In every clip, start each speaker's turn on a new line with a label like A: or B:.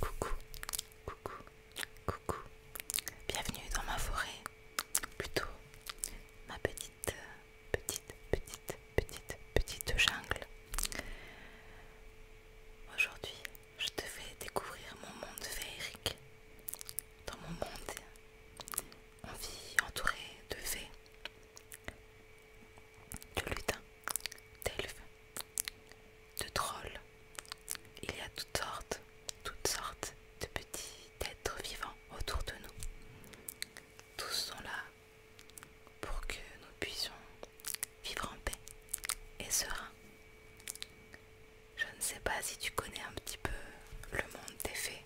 A: Coucou, coucou, coucou. Bienvenue dans ma forêt. Plutôt ma petite, petite, petite, petite, petite jungle. Aujourd'hui, je te fais découvrir mon monde féerique. Dans mon monde, on vit entouré de fées, de lutins d'elfes, de trolls. Il y a toutes sortes, toutes sortes de petits êtres vivants autour de nous. Tous sont là pour que nous puissions vivre en paix et serein. Je ne sais pas si tu connais un petit peu le monde des fées,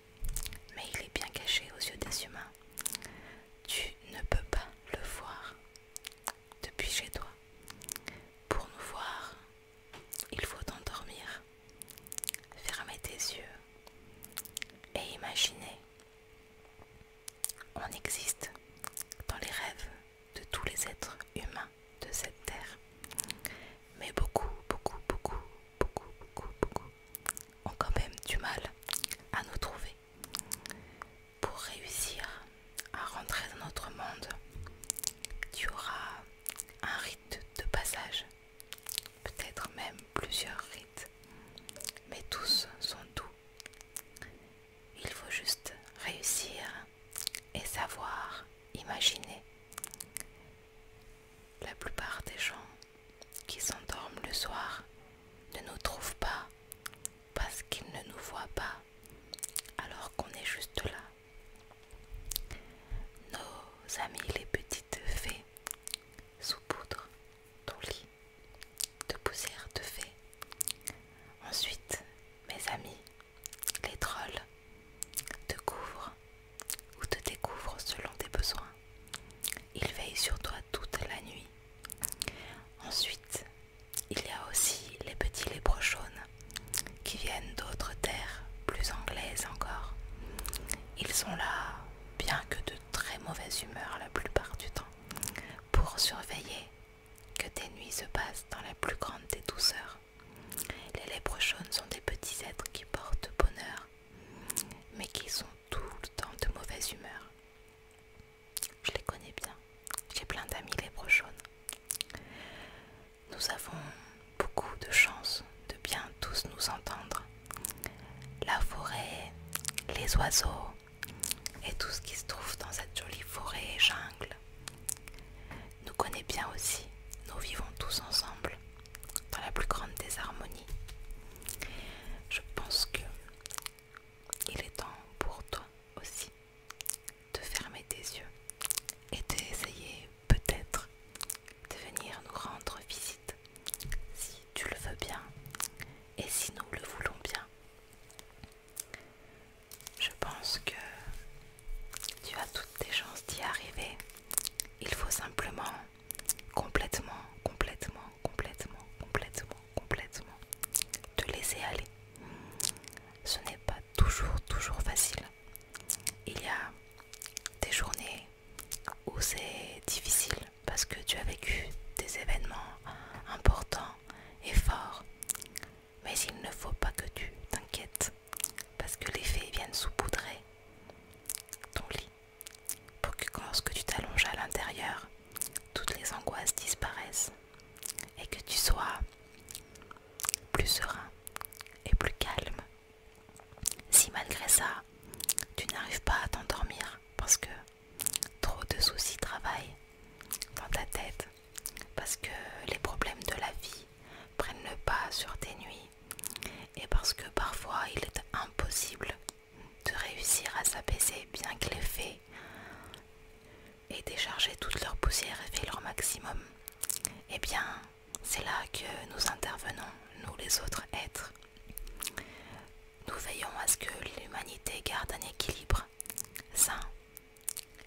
A: mais il est bien caché aux yeux des humains. Tu ne peux pas le voir depuis chez toi. Pour nous voir, il faut t'endormir. Fermer tes yeux et imaginer. On existe dans les rêves de tous les êtres humains de cette terre. Mais beaucoup, beaucoup, beaucoup, beaucoup, beaucoup, beaucoup ont quand même du mal à nous trouver. Pour réussir à rentrer dans notre monde, tu auras un rite de passage, peut-être même plusieurs rites, mais tous sont doux. Il faut juste réussir et savoir imaginer. La plupart des gens qui s'endorment le soir ne nous trouvent pas parce qu'ils ne nous voient pas alors qu'on est juste là. Nos amis les petites fées saupoudrent ton lit de poussière de fées Ensuite, mes amis, les trolls, te couvrent ou te découvrent selon tes besoins. Ils veillent sur toi toute la nuit. Ensuite, il y a aussi les petits lépreux jaunes qui viennent d'autres terres, plus anglaises encore. Ils sont là, bien que de très mauvaise humeur la plupart du temps, pour surveiller que tes nuits se passent dans la plus grande des douceurs. Les lépreux jaunes sont des petits êtres qui portent bonheur, mais qui sont tout le temps de mauvaise humeur. Je les connais bien. J'ai plein d'amis les jaunes. Nous avons beaucoup de chance de bien tous nous entendre. La forêt, les oiseaux et tout ce qui se trouve dans cette jolie forêt et jungle nous connaît bien aussi. Nous vivons tous ensemble dans la plus grande désharmonie. Je pense que il est temps pour toi aussi de fermer tes yeux et d'essayer peut-être de venir nous rendre visite si tu le veux bien et si nous le voulons bien. Je pense que tu as toutes tes chances d'y arriver. Il faut simplement complètement, complètement, complètement, complètement complètement, te laisser aller. Ce n'est pas toujours, toujours facile. Il y a des journées où c'est difficile parce que tu as vécu des événements importants et forts. Mais il ne faut pas que tu t'inquiètes parce que les faits viennent saupoudrer ton lit pour que lorsque tu t'allonges à l'intérieur, toutes les angoisses disparaissent et que tu sois plus serein et plus calme. Si malgré ça, tu n'arrives pas à t'endormir parce que trop de soucis travaillent dans ta tête, parce que les problèmes de la vie prennent le pas sur tes nuits et parce que parfois il est impossible de réussir à s'apaiser bien que les faits et décharger toute leur poussière et faire leur maximum, eh bien, c'est là que nous intervenons, nous les autres êtres. Nous veillons à ce que l'humanité garde un équilibre sain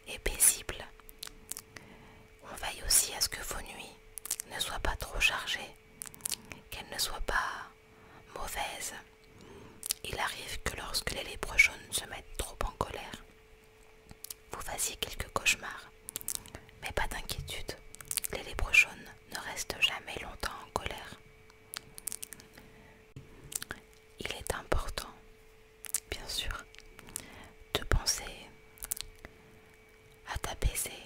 A: et paisible. On veille aussi à ce que vos nuits ne soient pas trop chargées, qu'elles ne soient pas mauvaises, il arrive que lorsque les lèvres jaunes se mettent trop en colère, vous fassiez quelques cauchemars. Mais pas d'inquiétude, les lèbres jaunes ne restent jamais longtemps en colère. Il est important, bien sûr, de penser à t'apaiser,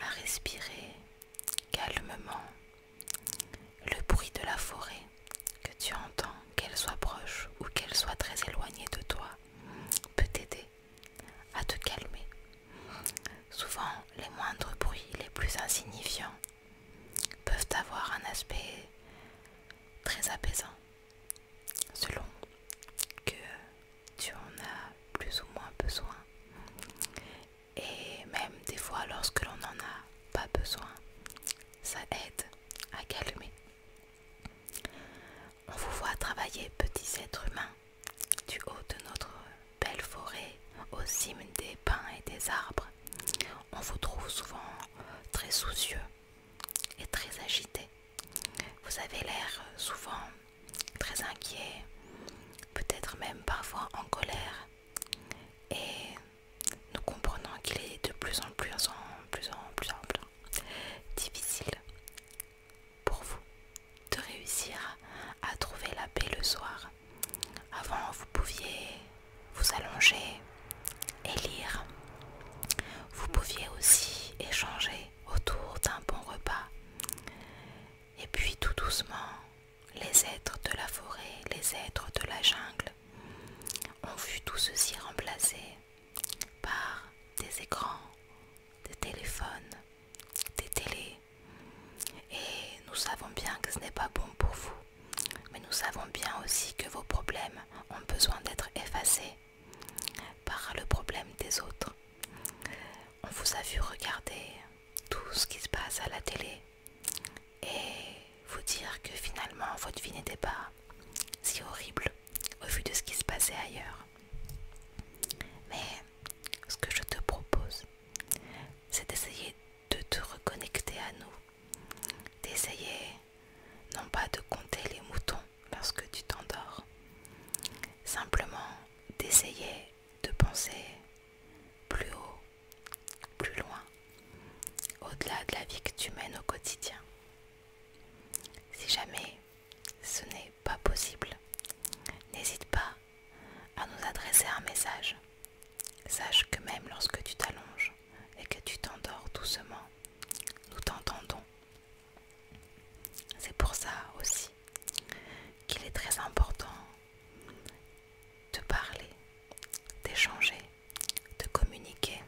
A: à respirer calmement le bruit de la forêt, que tu entends, qu'elle soit proche ou qu'elle soit très éloignée de toi, peut t'aider à te calmer. Souvent, les moindres bruits, les plus insignifiants, peuvent avoir un aspect très apaisant, selon que tu en as plus ou moins besoin. Et même des fois, lorsque l'on n'en a pas besoin, ça aide à calmer. On vous voit travailler, petits êtres humains, du haut de notre belle forêt, aux cimes des pins et des arbres. On vous trouve souvent très soucieux et très agité. Vous avez l'air souvent très inquiet, peut-être même parfois en colère. Et nous comprenons qu'il est de plus en plus, en plus, en plus, en plus difficile pour vous de réussir à trouver la paix le soir. Avant, vous pouviez vous allonger et lire. Vous pouviez aussi échanger autour d'un bon repas. Et puis tout doucement, les êtres de la forêt, les êtres de la jungle ont vu tout ceci remplacé par des écrans, des téléphones, des télés. Et nous savons bien que ce n'est pas bon pour vous. Mais nous savons bien aussi que vos problèmes ont besoin d'être effacés par le problème des autres. On vous a vu regarder tout ce qui se passe à la télé, et vous dire que finalement votre vie n'était pas si horrible au vu de ce qui se passait ailleurs. Mais ce que je te propose, c'est d'essayer de te reconnecter à nous, d'essayer non pas de compter les moutons lorsque tu t'endors, simplement d'essayer de penser plus haut plus loin, au-delà de la vie que tu mènes au quotidien. Si jamais ce n'est pas possible, n'hésite pas à nous adresser un message. Sache que même lorsque tu t'allonges et que tu t'endors doucement, nous t'entendons. C'est pour ça aussi qu'il est très important de parler, d'échanger, de communiquer.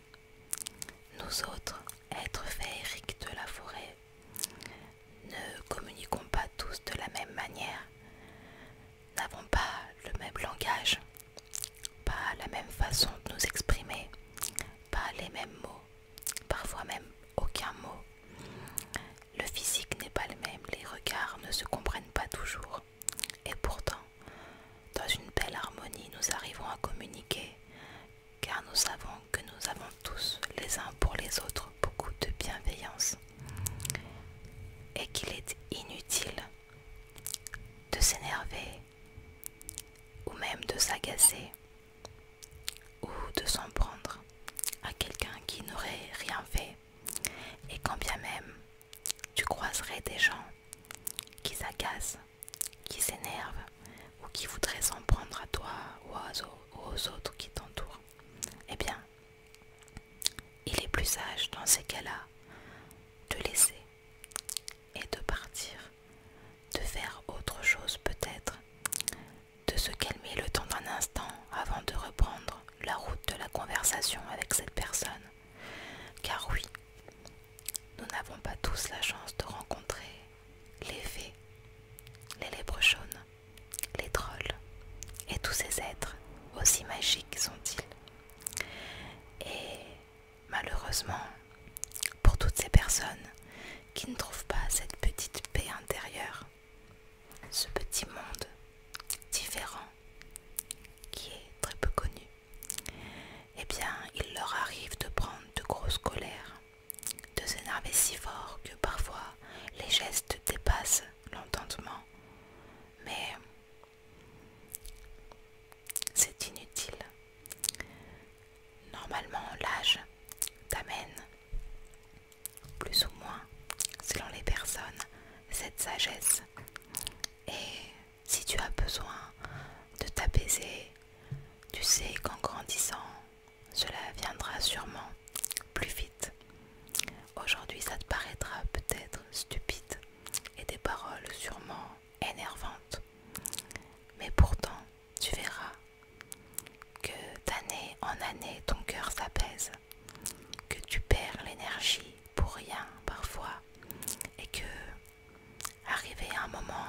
A: Nous autres, êtres féeriques de la forêt, ne communiquons pas tous de la même manière, n'avons pas le même langage, pas la même façon de nous exprimer, pas les mêmes mots, parfois même aucun mot. Le physique n'est pas le même, les regards ne se comprennent pas toujours. Et pourtant, dans une belle harmonie, nous arrivons à communiquer, car nous savons que nous avons tous, les uns pour les autres, beaucoup de bienveillance, et qu'il est inutile de s'énerver, ou même de s'agacer, ou de s'en prendre à quelqu'un qui n'aurait rien fait, et quand bien même tu croiserais des gens qui s'agacent, qui s'énervent ou qui voudraient s'en prendre à toi ou aux autres qui t'entourent. Eh bien, il est plus sage dans ces cas-là de laisser et de partir, de faire autre chose peut-être, de se calmer le temps d'un instant avant de reprendre la route de la conversation avec cette personne. Car oui, nous n'avons pas tous la chance de rencontrer les fées, les lèbres jaunes, les trolls et tous ces êtres aussi magiques sont-ils. Et malheureusement, pour toutes ces personnes qui ne trouvent pas cette petite paix intérieure, ce petit monde différent qui est très peu connu, eh bien, il leur arrive de prendre de grosses colères, de s'énerver si fort que parfois les gestes dépassent l'entendement. Mais c'est inutile. Normalement, l'âge t'amène, plus ou moins, selon les personnes, cette sagesse et si tu as besoin de t'apaiser, tu sais qu'en grandissant, cela viendra sûrement plus vite. Aujourd'hui, ça te paraîtra peut-être stupide et des paroles sûrement énervantes. Mais pourtant, tu verras que d'année en année, ton cœur s'apaise que tu perds l'énergie pour rien parfois et que arriver à un moment,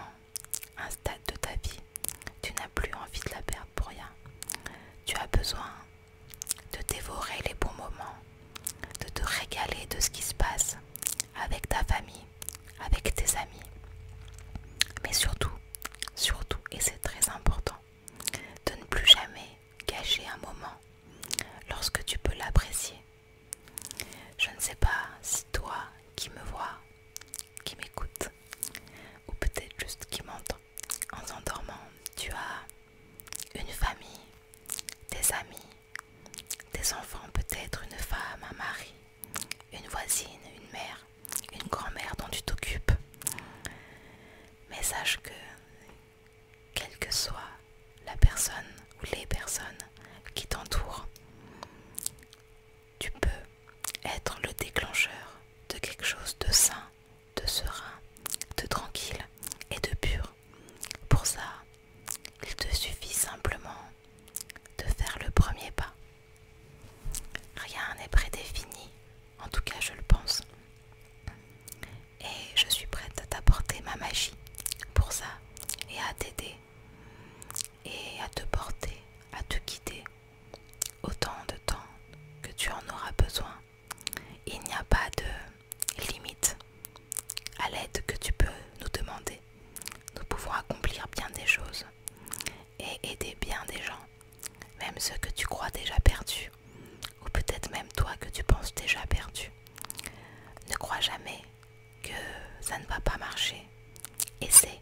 A: un stade de ta vie, tu n'as plus envie de la perdre pour rien. Tu as besoin de dévorer les bons moments, de te régaler de ce qui se passe avec ta famille, avec tes amis. Mais surtout, surtout, et c'est très important, de ne plus jamais gâcher un moment lorsque tu peux l'apprécier. Je ne sais pas si toi qui me vois, qui m'écoute, ou peut-être juste qui m'entend, en s'endormant, tu as une famille, des amis, des enfants, peut-être une femme, un mari, une voisine, une mère, une grand-mère dont tu t'occupes. Mais sache que quelle que soit la personne ou les personnes qui t'entourent. Tu peux être le déclencheur de quelque chose de sain, de serein, de tranquille et de pur. Pour ça, il te suffit simplement de faire le premier pas. Rien n'est prédéfini en tout cas, je le pense. Et je suis prête à t'apporter ma magie pour ça. Et à t'aider. Et à te porter, à te guider. Autant de temps que tu en auras besoin. Il n'y a pas de limite à l'aide que tu peux nous demander. Nous pouvons accomplir bien des choses et aider bien des gens, même ceux que tu crois déjà perdus ou peut-être même toi que tu penses déjà perdu. Ne crois jamais que ça ne va pas marcher. Essaie.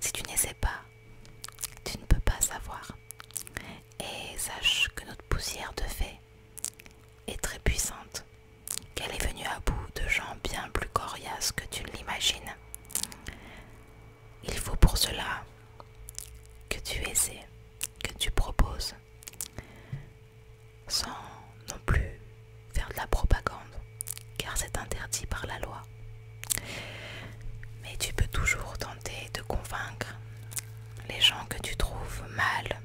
A: Si tu n'essaies pas, tu ne peux pas savoir. Et sache que notre poussière de fée est très puissante, qu'elle est venue à bout de gens bien plus coriaces que tu ne l'imagines. Il faut pour cela que tu essaies, que tu proposes, sans non plus faire de la propagande, car c'est interdit par la loi. Mais tu peux toujours tenter de convaincre les gens que tu trouves mal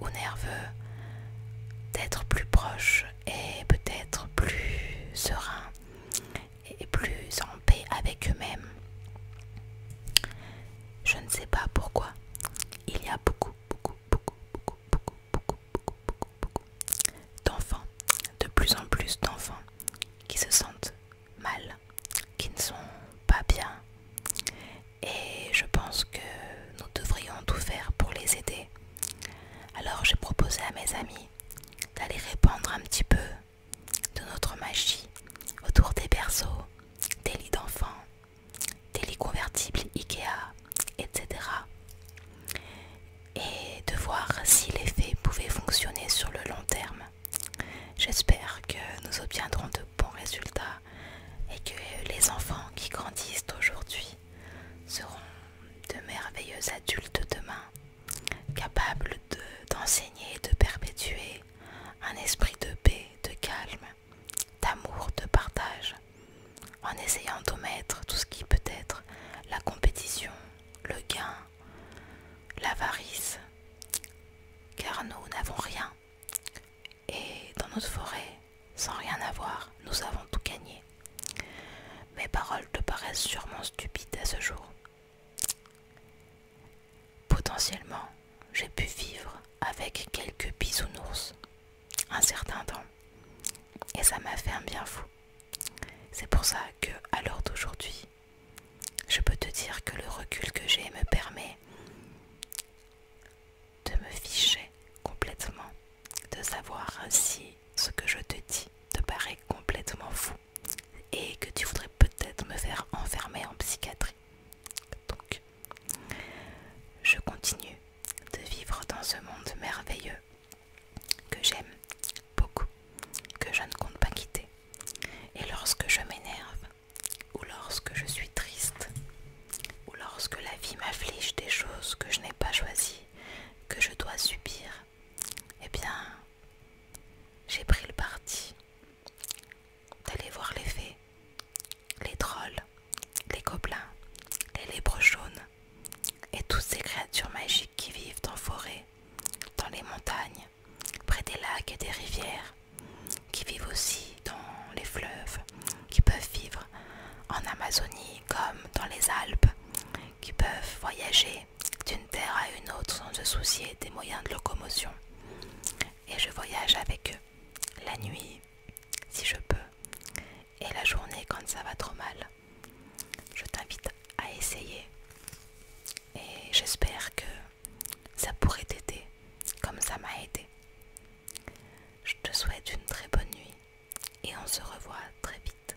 A: ou nerveux d'être plus proches et peut-être plus Sereins et plus en paix avec eux-mêmes. Je ne sais pas pourquoi. Il y a beaucoup, beaucoup, beaucoup, beaucoup, beaucoup, beaucoup, beaucoup, beaucoup, beaucoup d'enfants, de plus en plus d'enfants qui se sentent mal, qui ne sont pas bien. Et je pense que nous devrions tout faire pour les aider. Alors j'ai proposé à mes amis d'aller répandre un petit peu de notre magie autour des berceaux, des lits d'enfants, des lits convertibles Ikea, etc. Et de voir si l'effet pouvait fonctionner sur le long terme. J'espère que nous obtiendrons de bons résultats et que les enfants qui grandissent aujourd'hui seront de merveilleux adultes demain, capables d'enseigner de perpétuer un esprit de paix, de calme, d'amour, de partage, en essayant d'omettre tout ce qui peut être la compétition, le gain, l'avarice, car nous n'avons rien. Et dans notre forêt, sans rien avoir, nous avons tout gagné. Mes paroles te paraissent sûrement stupides à ce jour. Potentiellement, j'ai pu vivre avec quelques bisounours un certain temps. Et ça m'a fait un bien fou. C'est pour ça que, à l'heure d'aujourd'hui, je peux te dire que le recul que j'ai me permet de me ficher complètement, de savoir si ce que je te dis te paraît complètement fou et que tu voudrais peut-être me faire enfermer en psychiatrie. Donc, je continue de vivre dans ce monde merveilleux que j'aime beaucoup, que je ne compte pas quitter. Et lorsque je m'énerve, ou lorsque je suis triste, ou lorsque la vie m'afflige des choses que je n'ai pas choisies, que je dois subir, eh bien, j'ai pris le parti d'aller voir les fées, les trolls, les gobelins, les lépreux jaunes et toutes ces créatures magiques qui vivent en forêts, dans les montagnes, près des lacs et des rivières, qui vivent aussi dans les fleuves, qui peuvent vivre en Amazonie comme dans les Alpes, qui peuvent voyager d'une terre à une autre sans se soucier des moyens de locomotion et je voyage avec eux la nuit si je peux et la journée quand ça va trop mal. Je t'invite à essayer et j'espère que ça pourrait t'aider comme ça m'a aidé. Je te souhaite une très bonne nuit et on se revoit très vite.